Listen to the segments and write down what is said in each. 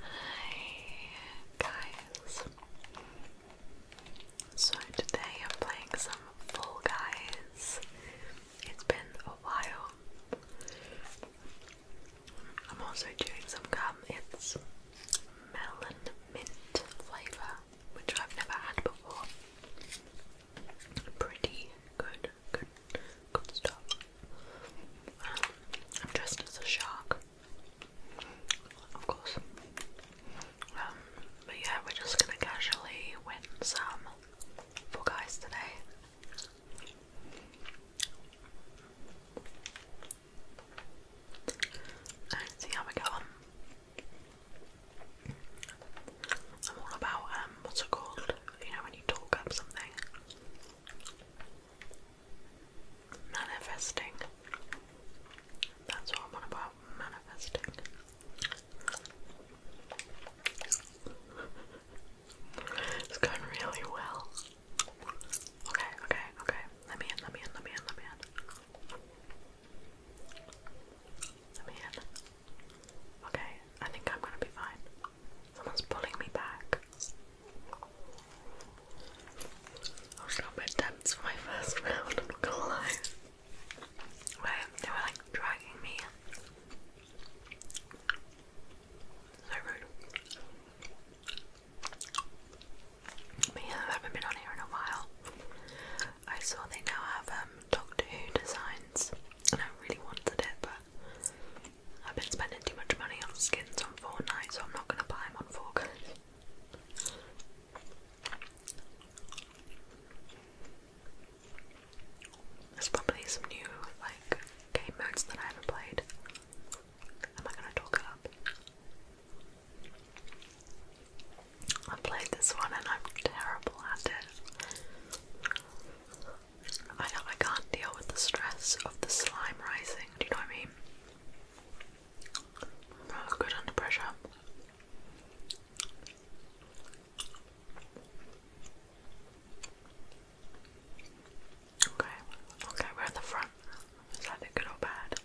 Hi guys. So today I'm playing some Fall Guys. It's been a while. I'm also doing some gum. It's melon mint flavour, which I've never had before. Pretty good, good, good stuff. I'm um, dressed as a shark of course. Um, but yeah, we're just gonna casually win some for guys today. And see how we go I'm all about um, what's it called? You know, when you talk up something. Manifesting. That's what I'm on about. Manifesting. it's going really well. Okay, okay, okay. Let me in, let me in, let me in, let me in. Let me in. Okay, I think I'm gonna be fine. Someone's pulling me back. I was a little bit tense for my first round, I'm not gonna lie. they were like dragging me. So rude. yeah, I haven't been on here in a while. I saw they now have um, Doctor Who designs, and I really wanted it, but I've been spending too much money on skins on Fortnite, so I'm not gonna buy them on Fortnite. There's probably some new like game that I haven't played. Am I gonna talk it up? I played this one and I'm terrible at it. I know I can't deal with the stress of the slime rising, do you know what I mean? good under pressure. Okay, okay, we're at the front. Is that good or bad?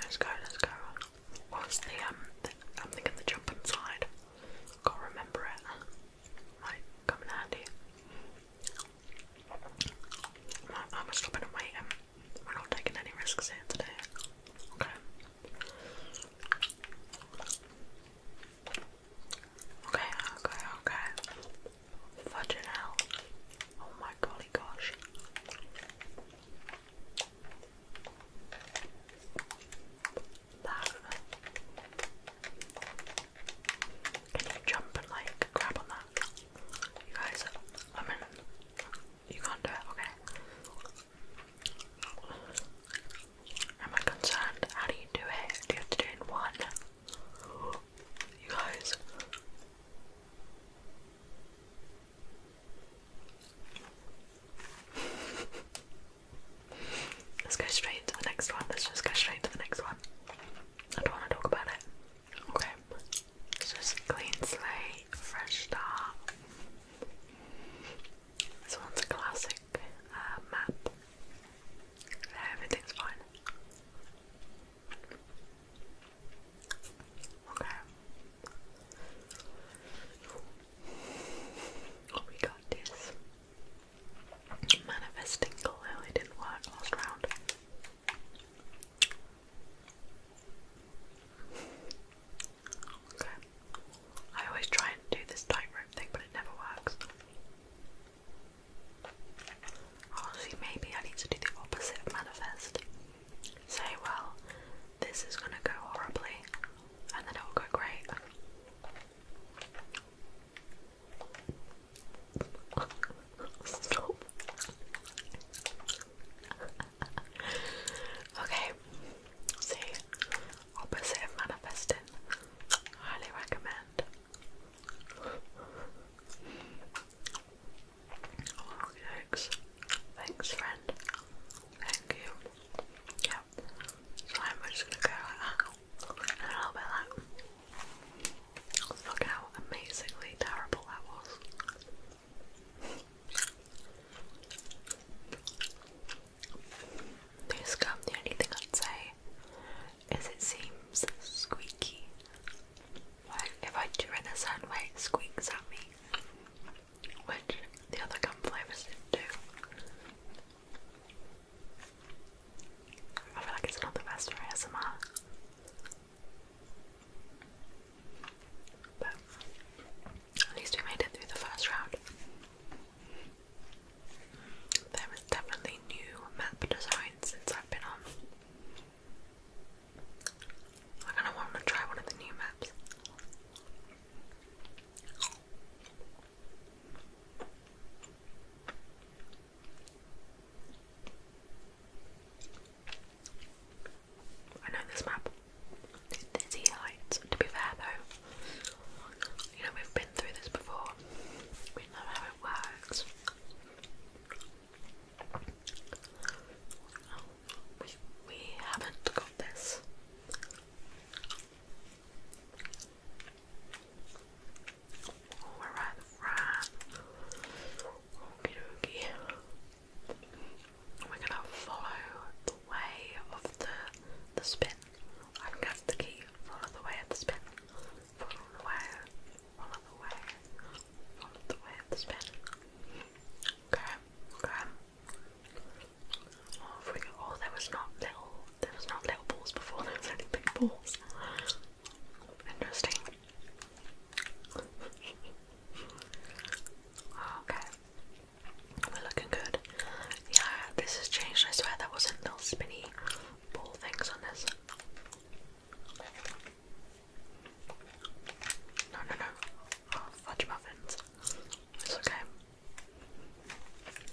Let's go, let's go. What's the um? I'm thinking the jump inside. Can't remember it might come in handy. I'm just stopping to wait. Um, we're not taking any risks here today. Okay. Okay, okay, okay. Fudging out. Oh my golly gosh. That can you jump and like grab on that? You guys, I mean, you can't do it, okay? Am I concerned? How do you do it? Do you have to do it in one? You guys. Let's go straight to the next one. Let's just go straight to the next one. I don't want to talk about it. Okay, it's just clean slate, fresh start. This one's a classic uh, map. everything's fine. Okay. Oh, we got this. Manifesting clearly didn't work last round. Okay. I always try and do this tightrope thing, but it never works. Honestly, maybe I need to do the opposite manifest. Say, well, this is gonna go horribly, and then it'll go great. Stop. okay, see, opposite manifesting. Highly recommend. Oh, Thanks, friend. Thank you. Yep. So I'm just gonna go a little bit like Look how amazingly terrible that was. This gum, the only thing I'd say is it seems squeaky. if I do in a certain way, squeaks at me. Which the other gum flavors do. I feel like it's not the best for ASMR. But at least we made it through the first round. There is definitely new map design since I've been on. I kind of want to try one of the new maps. I know this map. Dizzy Heights. To be fair though, you know we've been through this before. We know how it works. We, we haven't got this. Alright, right. Okie dokie. We're gonna follow the way of the the spin. I can get the key. Follow the way of the spin. Follow the way. Follow the way. Follow the way of the spin. Okay, okay. Oh, oh, there was not little, there was not little balls before. There was only big balls. Interesting. okay. We're looking good. Yeah, this has changed. I swear there wasn't little spinny ball things on this. No, no, no. Oh, fudge muffins. It's okay.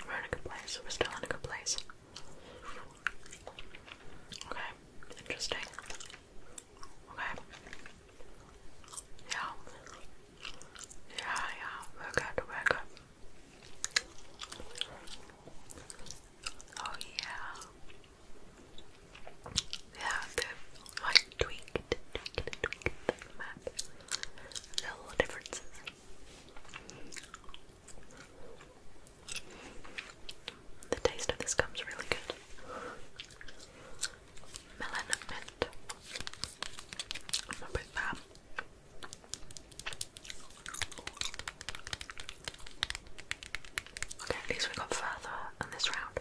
We're in a good place. We're still in a good place. Okay, interesting. Okay. Yeah. Yeah, yeah, we're good, we're good. Oh yeah. Yeah, they tweaked, tweaked, tweaked the map. Little differences. The taste of this comes really good. Melon mint. I'm gonna put Okay, at least we got further in this round.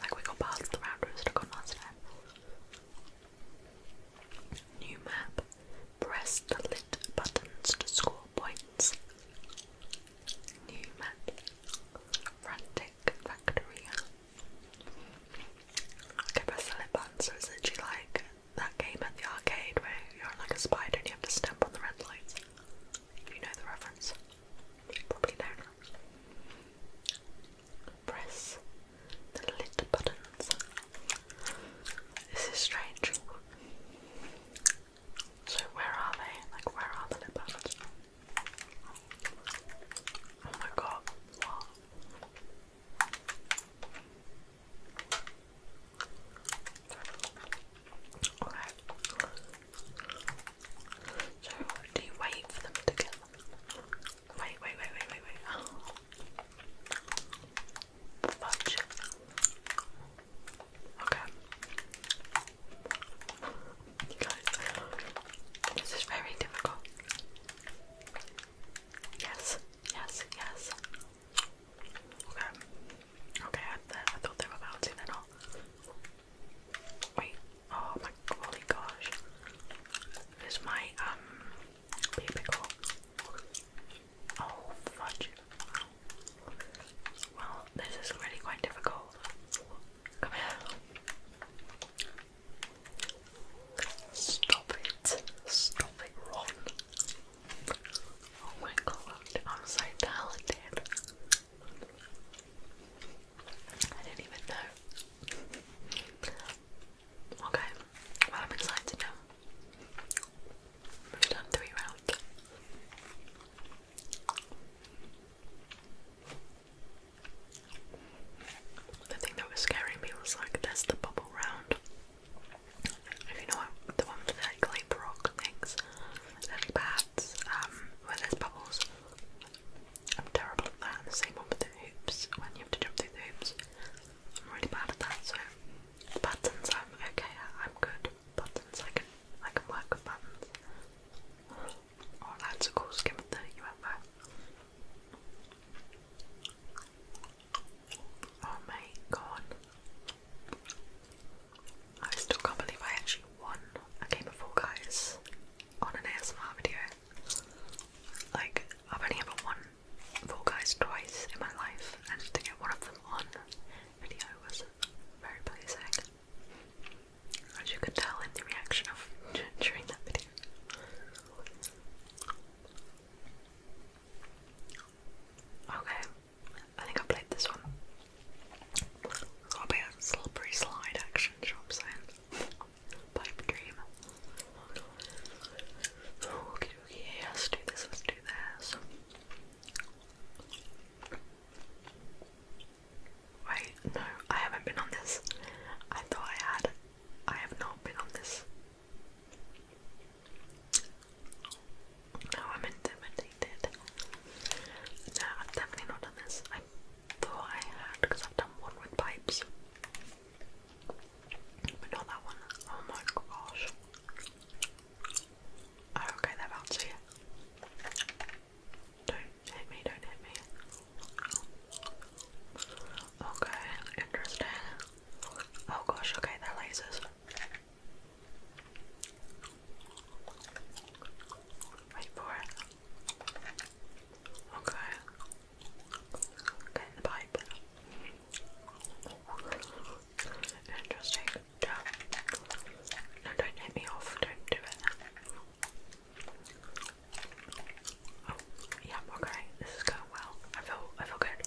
Like we got past the round we stuck on last time. New map. Press the lit buttons to score points. New map. Frantic Factoria. Okay, press the lit button, so it's literally like that game at the arcade where you're like a spider and you have to stamp on the red lights. If you know the reference. You probably do Press the lit buttons. This is strange. So where are they? Like where are the lip balms? Oh my god, what? Okay. So do you wait for them to get them? Wait, wait, wait, wait, wait, wait. Fudge. Okay. Guys, this is very difficult. Yes, yes, yes. Okay. Okay, I, thought they were bouncing, they're Wait, oh my holy gosh. This might um be Oh, fudge. Well, this is really quite difficult. Come here. Stop it. Stop it, Ron. Oh my god, I'm so talented. I didn't even know. Okay, well, I'm excited now. We've done three rounds. The thing that was scary me was like, there's the bubble round. you know the one with the clay rock things, lily pads, um, where there's bubbles. I'm terrible at that, the same one with the hoops, when you have to jump through the hoops. I'm really bad at that, so the patterns I'm okay I'm good buttons. I can I can work with buttons. Oh, that's a cool skin Oh my god. I still can't believe I actually won a game of four Guys on an ASMR video. Like, I've only ever won Fall Guys twice in my life, and to get one of them on video was very pleasing, as you can tell in the reaction of during that video. Okay, I think I played this one. It's got a slippery slide action, sure I'm saying. Pipe dream. Okie dokie, let's do this, let's do this. Wait, no, I haven't been on this. I thought I had. I have not been on this. No, I'm intimidated. No, I've definitely not done this. I thought I had because I've done one with pipes. But not that one. Oh my gosh. Oh, okay, that bounced here. Don't hit me, don't hit me. Okay, interesting. Oh gosh, okay, they're lasers. Wait for it. Okay. Okay, the pipe. Interesting. No. don't hit me off. Don't do it. Oh, yeah, okay. This is going well. I feel, I feel good.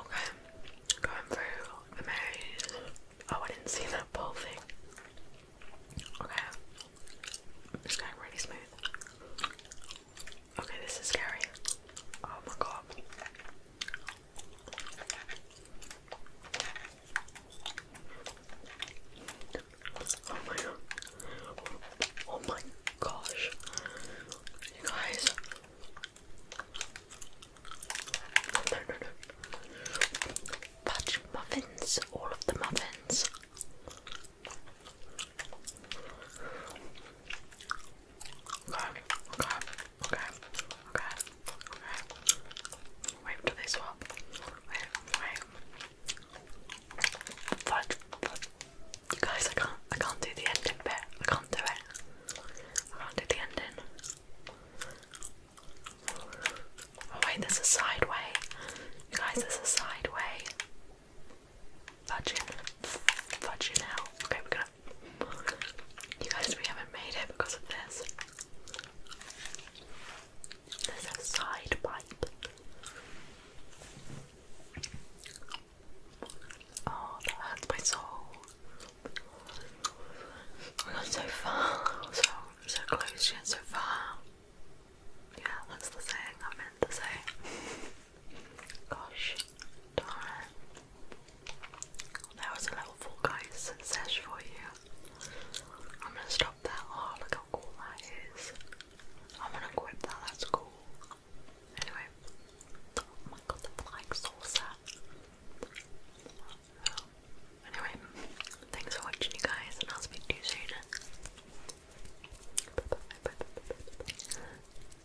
Okay, going through the maze. Oh, I didn't see that ball thing. Okay, it's going really smooth. Okay, this is scary. Oh my god. Oh my Oh my gosh. You guys. No, no, no. Fudge muffins. All of the muffins. Okay, okay, okay, okay, okay. Wait till they swap. Wait, wait. Fudge, guys, I can't, I can't do the ending bit. I can't do it. I can't do the ending. Oh wait, there's a side way. guys, there's a side way. Fudging. Fudging out. Okay, we're gonna you guys, we haven't made it because of this. There's a side pipe. Oh, that hurts my soul. We got so far, so so close yet so far. Yeah, that's the saying I meant to say. Gosh darn. That was a little Fall Guys sesh for you. I'm gonna stop that. Oh, look how cool that is. I'm gonna quit that, that's cool. Anyway. Oh my god, the flying saucer. Anyway, thanks for watching, you guys, and I'll speak to you soon. -bye.